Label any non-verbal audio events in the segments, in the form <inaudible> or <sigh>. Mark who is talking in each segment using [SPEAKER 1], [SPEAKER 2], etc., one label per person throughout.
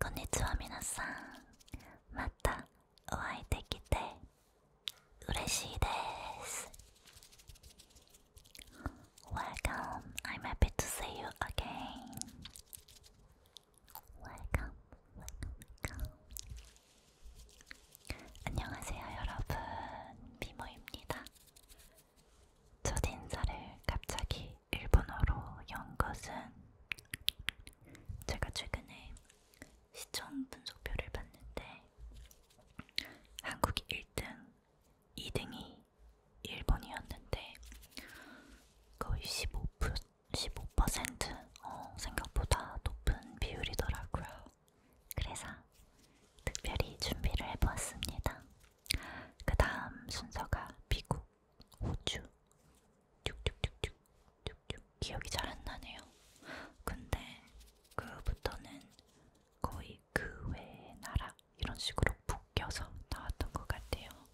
[SPEAKER 1] こんにちは皆さんまたお会いできて嬉しいです Welcome I'm happy to see you again welcome, welcome, welcome. 안녕하세요, 여러분. 미모입니다. 첫 인사를 갑자기 일본어로 연 것은 제가 최근에 시청 분석표를 봤는데 한국이 1등, 2등이 일본이었는데 거의 15% 15% 어, 생각보다 높은 비율이더라고요. 그래서 특별히 준비를 해보았습니다. 그 다음 순서가 미국, 호주, 쭉쭉쭉쭉쭉쭉 기억이 잘 안 나네요. 근데 그부터는 거의 그 외의 나라 이런 식으로 묶여서 나왔던 것 같아요.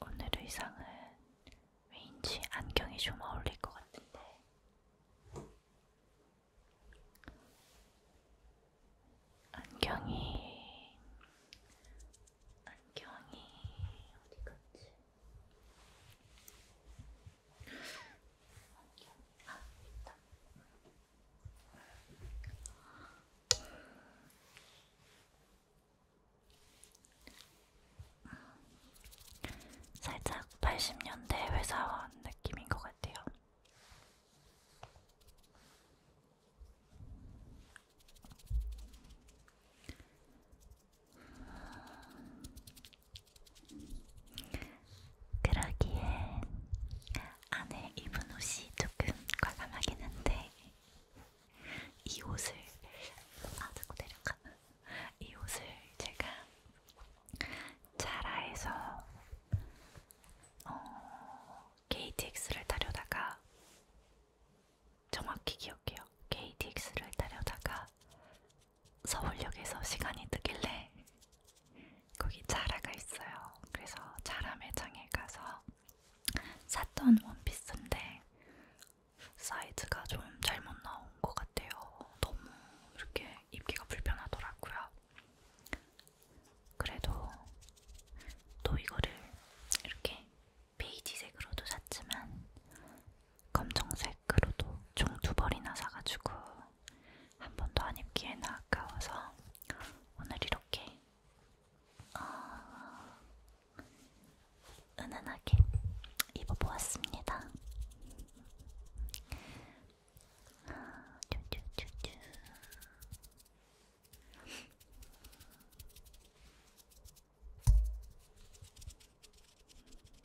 [SPEAKER 1] 오늘 의상은 왠지 안경이 좀 어울릴 것 같은데 안경이 안경이 어디 갔지? 안경 아 있다. 살짝 80년대 회사원 느낌인 것 같아요. 그러기에 안에 입은 옷이 조금 과감하긴 한데 이 옷을 아 자꾸 내려가는 이 옷을 제가 자라에서 어, KTX를 타려다가 정확히 기억해요. KTX를 타려다가 서울역에서 시간이 뜨길래 거기 자라가 있어요. 그래서 자라 매장에 가서 샀던 원피스인데 사이즈가 좀 잘못 나온 것 같아요. 너무 이렇게 입기가 불편하더라고요. 그래도 또 이거를 이렇게 베이지색으로도 샀지만 검정색으로도 총 두 벌이나 사가지고 한 번도 안 입기에는 아까워서 오늘 이렇게 어, 은은하게 입어보았습니다. 아, 쭈쭈쭈쭈. 음,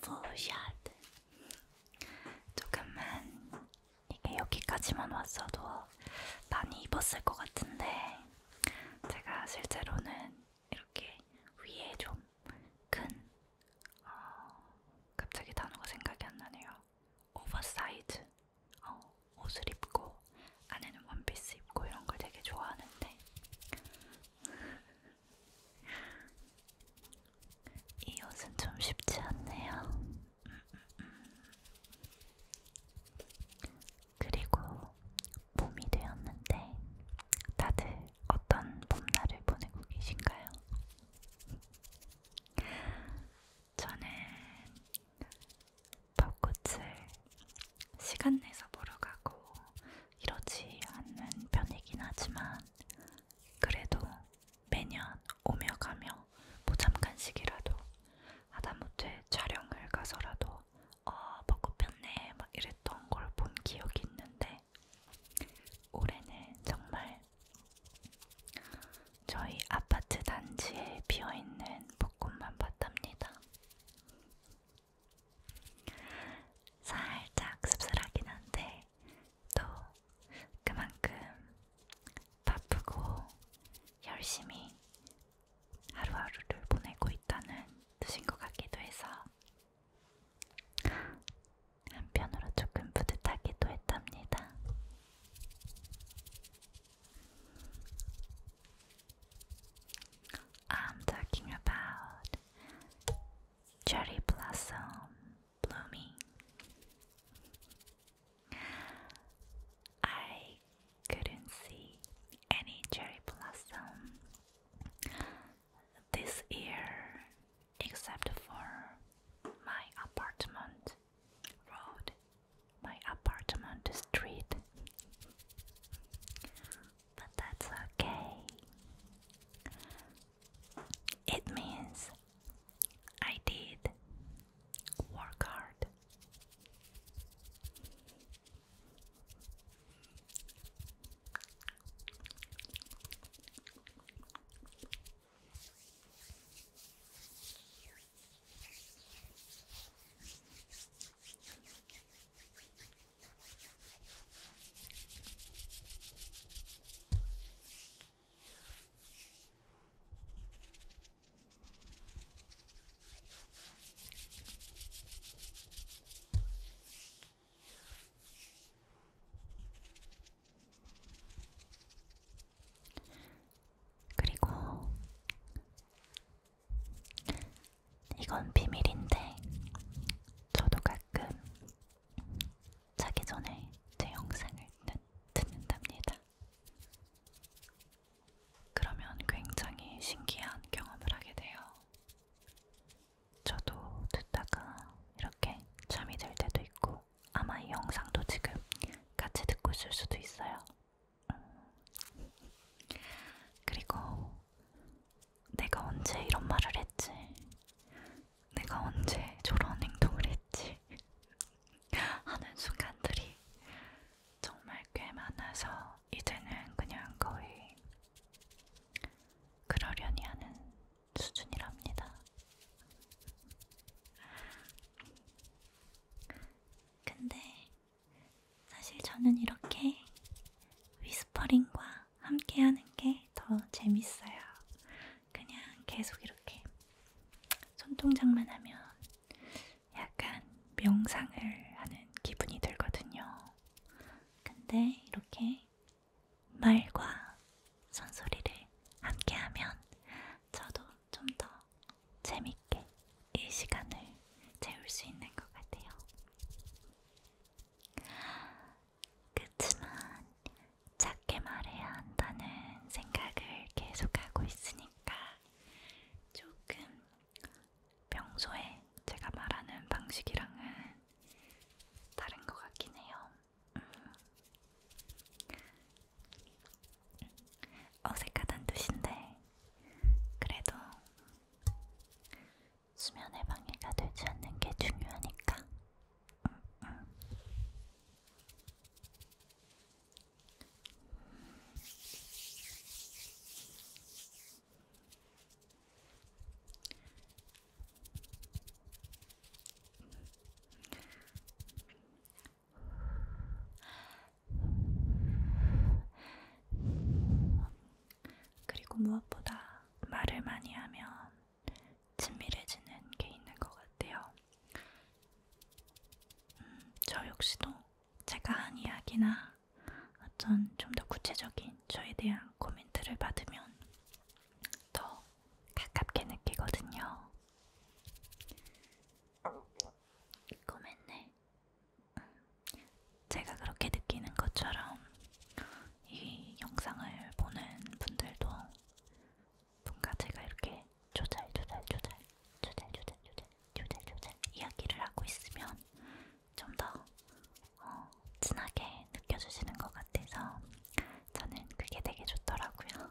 [SPEAKER 1] 풀샷 조금만 이게 여기까지만 왔어도 많이 입었을 것 같은데 제가 실제로는 이렇게 위에 좀큰 어, 갑자기 단어가 생각이 안 나네요. 오버사이즈 어, 옷을 입고 안에는 원피스 입고 이런 걸 되게 좋아하는데 이 옷은 좀 쉽지 않네요. 그리고 봄이 되었는데 다들 어떤 봄날을 보내고 계신가요? 저는 벚꽃을 시간 내서 보러 가고 이러지 않는 편이긴 하지만 그래도 매년 오며 가며 뭐 잠깐씩이라도 하다못해 촬영을 가서라도 어 먹고 폈네 막 이랬던 걸 본 기억이 있는데 올해는 정말 저희 아파트 단지에 비어있는 벚꽃만 봤답니다. 살짝 씁쓸하긴 한데 또 그만큼 바쁘고 열심히 하루하루를 보내고 있다는 뜻인 것 같기도 해서 한편으로 조금 뿌듯하기도 했답니다. I'm talking about cherry blossom blooming. I couldn't see any cherry blossom this year except for my apartment road, my apartment street but that's okay. It means I did work hard. 그리고 이건 비밀인데 저도 가끔 자기 전에 제 영상을 듣는답니다. 그러면 굉장히 신기한 경험을 하게 돼요. 저도 듣다가 이렇게 잠이 들 때도 있고 아마 이 영상도 지금 같이 듣고 있을 수도 있어요. 그리고 내가 언제 이런 말을 했지? 내가 언제 저런 행동을 했지? <laughs> 하는 순간들이 정말 꽤 많아서 이제는 그냥 거의 그러려니 하는 수준이랍니다. 근데 사실 저는 이렇게 위스퍼링과 함께 하는 게 더 재밌어요. 그냥 계속 이렇게 손동작만 하면 약간 명상을 하는 기분이 들거든요. 근데 이렇게 말과 손소리를 함께 하면 저도 좀더 재밌게 이 시간을 채울 수 있는 것 같아요. 그치만 작게 말해야 한다는 생각을 계속하고 있으니까 조금 평소에 제가 말하는 방식이랑은 다른 것 같긴 해요. 음. 어색하단 뜻인데 그래도 수면에 방해가 되지 않는 게 중요하니까. 음, 음. 그리고 무엇보다 말을 많이 하면 친밀해지는 게 있는 것 같아요. 음, 저 역시도 제가 한 이야기나 어떤 좀 더 구체적인 저에 대한 코멘트를 받으면 더 가깝게 느끼거든요. 고민네. 음. 제가 그렇게 느끼는 것처럼 이 영상을 보는 분들도 뭔가 제가 이렇게 조잘 조잘 조잘 조잘 조잘 조잘 조잘 조잘 이야기를 하고 있으면 좀더 어, 진하게 느껴주시는 것 같아서 저는 그게 되게 좋더라고요.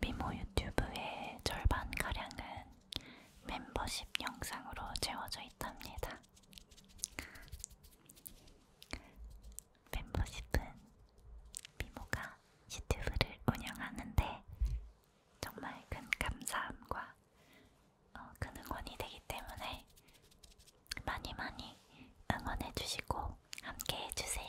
[SPEAKER 1] 미모 유튜브의 절반가량은 멤버십 영상으로 채워져 있답니다. 멤버십은 미모가 유튜브를 운영하는데 정말 큰 감사함과 어, 큰 응원이 되기 때문에 많이 많이 응원해주시고 함께 해주세요.